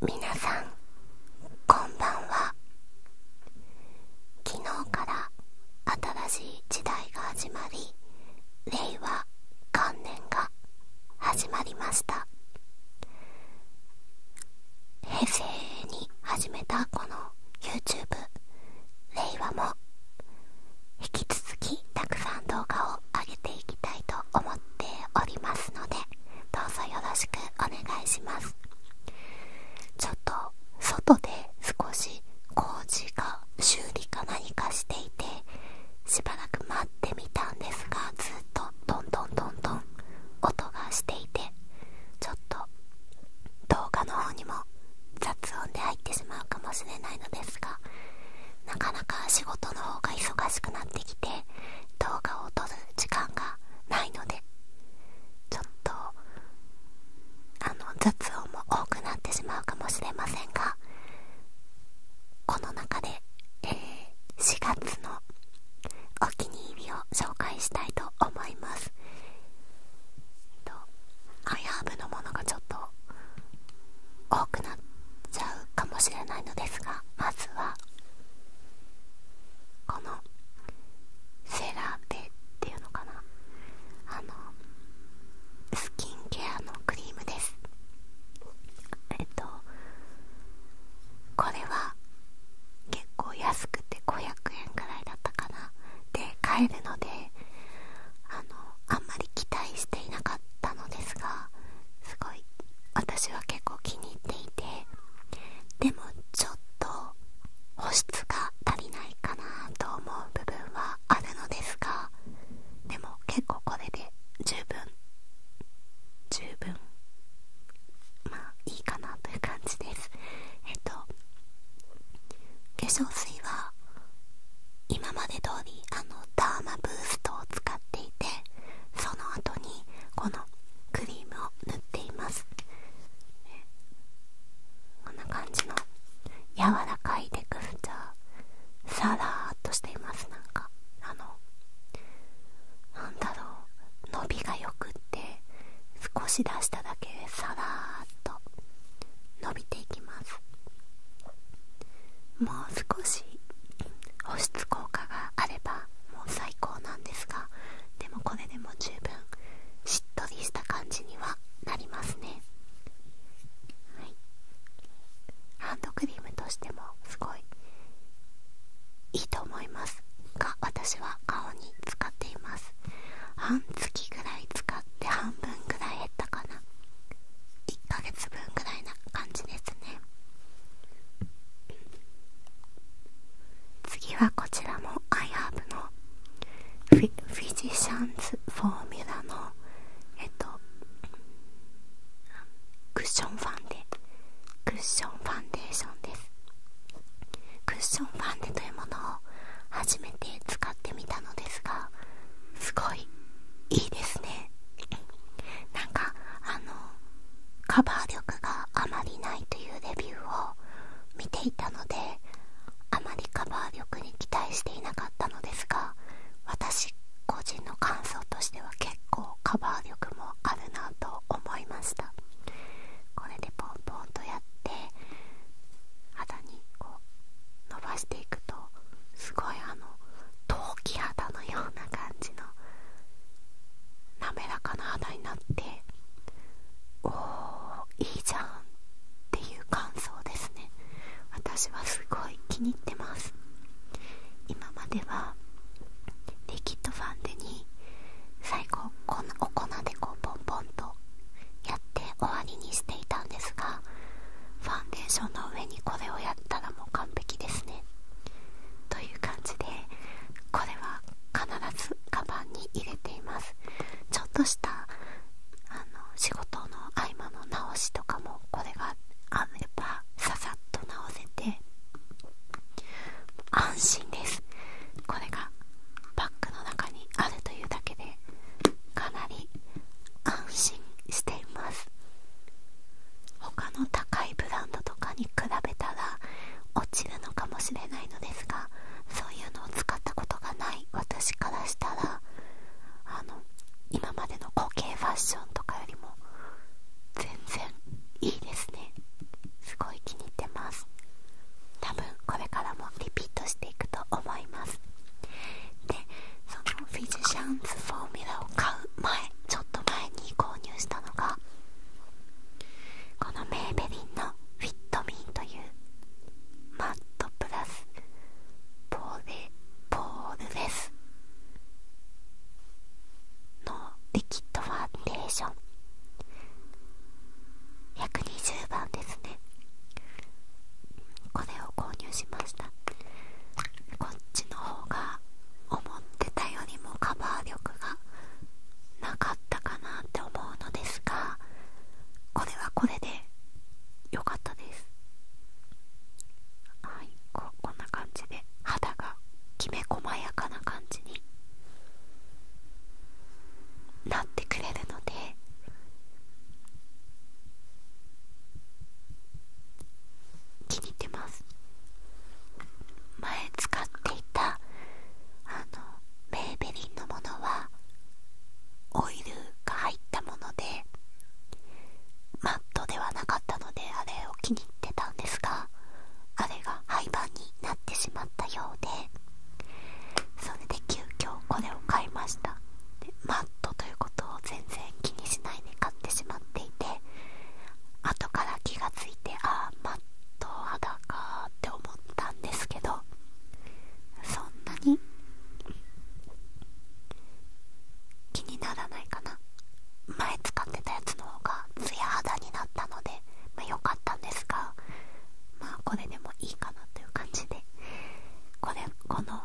皆さんこんばんは昨日から新しい時代が始まり令和元年が始まりました平成に始めたこの YouTube 令和も引き続きたくさん動画を上げていきたいと思ってておりますのでどうぞよろしくお願いしますちょっと外で少し工事か修理か何かしていてしばらく待ってみたんですがずっとどんどんどんどん音がしていてちょっと動画の方にも雑音で入ってしまうかもしれないのですがなかなか仕事の方が忙しくなってきて動画を撮る時間がないのでちょっとあの雑音も多くなってしまうかもしれませんがこの中で、え4月のお気に入りを紹介したいと思います。とアイハーブのものがちょっと多くなっちゃうかもしれないのですがまずはこのセラーテっていうのかなあのスキンケアのクリームですえっとこれは結構安くて500円くらいだったかなで買えるのであんまり期待していなかったのですがすごい私は結構気に入っていてでもちょっと保湿が足りないかなと思う部分はあるのですがでも結構これで十分十分まあいいかなという感じですえっと化粧水は今まで通りあのダーマブーストを使っていてその後にこのクリームを塗っていますこんな感じの柔らかいテクスチャーサラーっとしていますなんかあのなんだろう伸びがよくって少し出しただけでさらーっと伸びていきますもう少し保湿効果があればもう最高なんですがでもこれでも十分しっとりした感じにはなりますねハンドクリームとしてもすごいいいと思いますが私は顔に使っています半月ぐらい使って半分ぐらい減ったかな1ヶ月分ぐらいな感じですね次はこちらも iHerb のフィフィジシャンズフォーミュラのえっとクッションファンデクッションファンデーションですクッションファンデというものを初めて使ってみたのですがすごいいいですねなんかあのカバー力があまりないというレビューを見ていたのであまりカバー力に期待していなかったのですが私個人の感想としては結構カバー力もあるなと思いましたこれでポンポンとやって肌にこう伸ばしていくとすごいあの陶器肌のような感じの滑らかな肌になっておーいいじゃんっていう感想ですね私はすごい気に入ってます今まではリキッドファンデに最後このお粉でこうポンポンとやって終わりにしていたんですがファンデーションの上にこれをやたらもう完璧ですねという感じでこれは必ずカバンに入れていますちょっとしたあの仕事の合間の直しとかもこれがあればささっと直せて安心ですこれがバッグの中にあるというだけでかなり安心しています他の高いブランドとかに比べたら落ちるのかもしれないのですがそういうのを使ったことがない私からしたらあの今までの固形ファッションとかよりも全然いいですねすごい気に入ってます多分これからもリピートしていくと思いますでそのフィジシャンズフォーミュラを買う前ちょっと前に購入したのがこのメーベリンのフィットミーというマットプラスポーレポールレスのリキッドファンデーション120番ですねこれを購入しましたこっちの方が思ってたよりもカバー力がなかったかなって思うのですがこれはこれで良かったですはいここんな感じで肌がきめ細やかな感じになってくれるので気に入ってます前使っていたあのメーベリンのものはオイルが入ったものでマットではなかったのであれを気に入ってたんですがあれが廃盤になってしまったようでそれで急遽これを買いましたマットということを全然気にしないで買ってしまっていて後から気が付いてああマット肌かって思ったんですけどそんなに気にならないかな前使ってたやつの方がツヤ肌になったのでま良かったんですがまあこれでもいいかなという感じでこれこの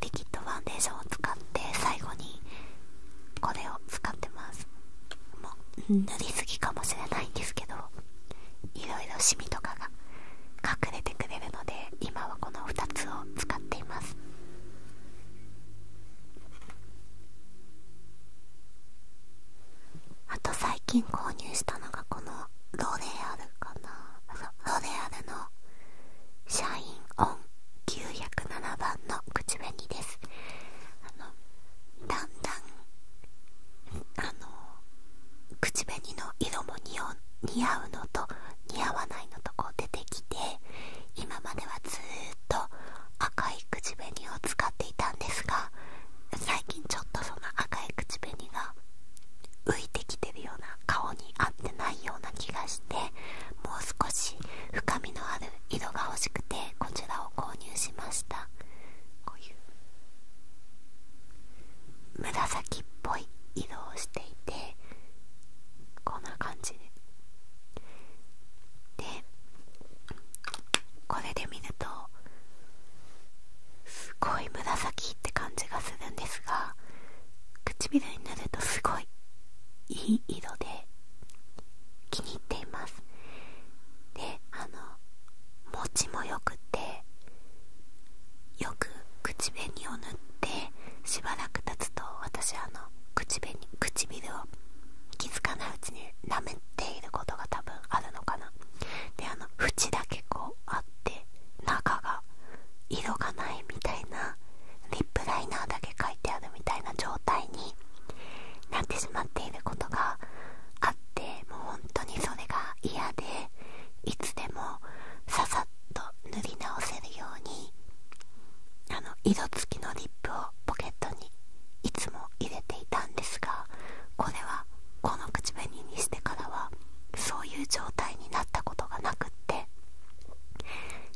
リキッドファンデーションを使って最後にこれを使っってますもう塗りすぎかもしれないんですけどいろいろシミとかが隠れてくれるので今はこの2つを使っていますあと最近購入したのがこのロレアルかなロレアルのシャインオン907番の口紅ですあのだんだんあの口紅の色も似合うのと似合わないのとこう出てきて今まではずっと赤い口紅を使っていたんですが最近ちょっとその赤い口紅が浮いてきてるような顔に合ってないような気がしてもう少し深みのある色が欲しくてこちらを購入しましたこういう紫っぽい色をしていてこんな感じででこれで見るとすごい紫って感じがするんですが唇になるとすごいいい色で気に入っていますであの餅もよくてよく口紅を塗ってしばらく経つと私あの口紅唇を気づかないうちに舐めていることが多分あるのかなであの縁だけこうあって中が色がないみたいなリップライナーだけ書いてあるみたいな状態になってしまっていることがあってもう本当にそれが嫌でいつでもささっと塗り直せるようにあの色付きのリップをポケットにいつも入れていたんですがこれはこの口紅にしてからはそういう状態になったことがなくって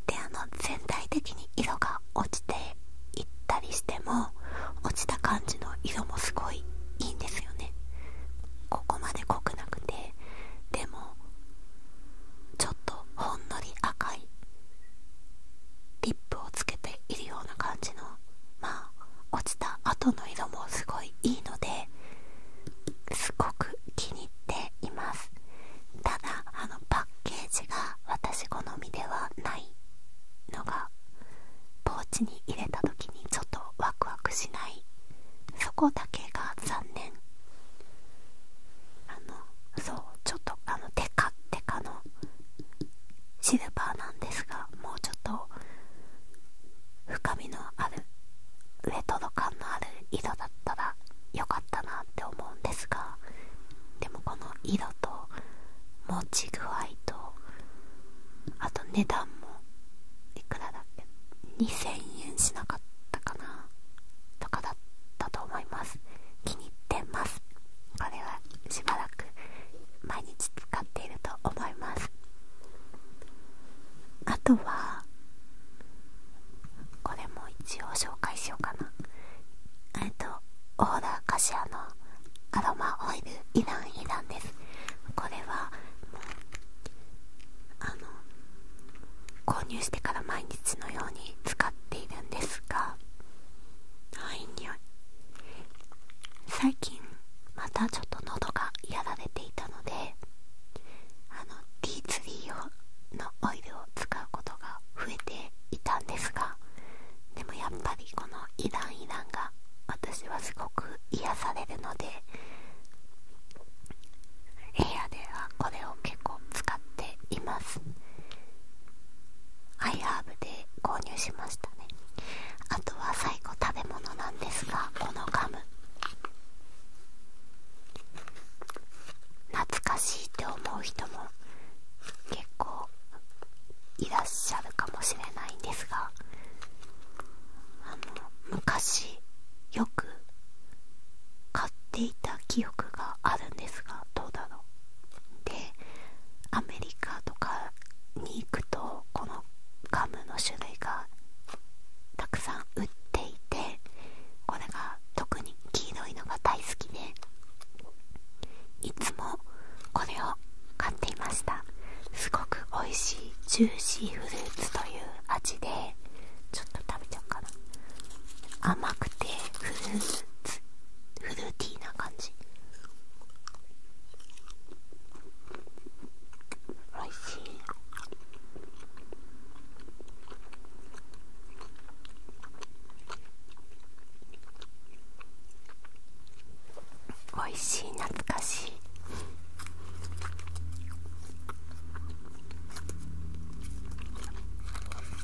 であの全体的に色が落ちていったりしても落ちた感じの色もすごいいいんですよねここまで濃くなくてでもちょっとほんのり赤いリップをつけているような感じのまあ落ちた後の色もすごいいいのですごく気に入っていますただあのパッケージが私好みではないのがポーチに入れた時にちょっとワクワクしないそこだけが残念あのそうちょっとあのテカテカのシルバーなんですがもうちょっと深みのあるウェトロ感のある色だったら良かったなって思うんですがでもこの色と持ち具合とあと値段もいくらだっけ2000円しなかったかなとかだったと思います気に入ってますこれはしばらく毎日使っていると思いますあとはこれも一応紹介しようかなえっとオーダーカシアのアロマオイルイランイランですこれはあの購入してから毎日のように使っているんですがはい匂い最近またちょっと喉がやられていたのであの D ツリー用のオイルを使うことが増えていたんですがでもやっぱりこのイランイランが私はすごく癒されるので部屋ではこれを結構使っていますアイハーブで購入しましたねあとは最後食べ物なんですがこのガム懐かしいって思う人も結構いらっしゃるかもしれないんですが昔よく買っていた記憶があるんですがどうだろうでアメリカとかに行くとこのガムの種類がたくさん売っていてこれが特に黄色いのが大好きでいつもこれを買っていましたすごく美味しいジューシーフルーツという味でちょっと食べちゃうかな甘くてフルーツフルーティーな感じ美味しいおいしい懐かしい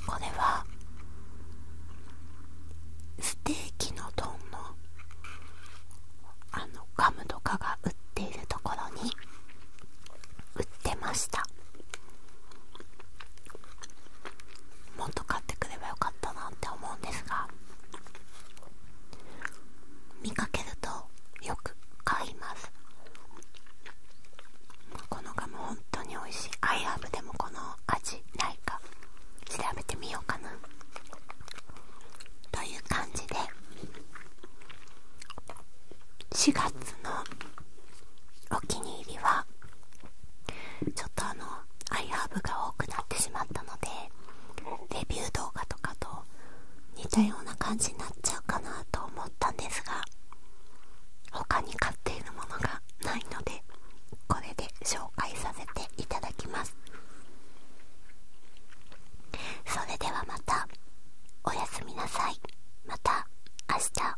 これはステーキの丼のあのカムとかが売っているところに売ってましたもっと買ってくればよかったなって思うんですが見かけるとよく買いますこのガム本当に美味しいアイラブでもこの味ないか調べてみようかなという感じで4月のお気に入りはちょっとあのアイハーブが多くなってしまったのでレビュー動画とかと似たような感じになっちゃうかなと思ったんですが他に買っているものがないのでこれで紹介させていただきますそれではまたおやすみなさいまた明日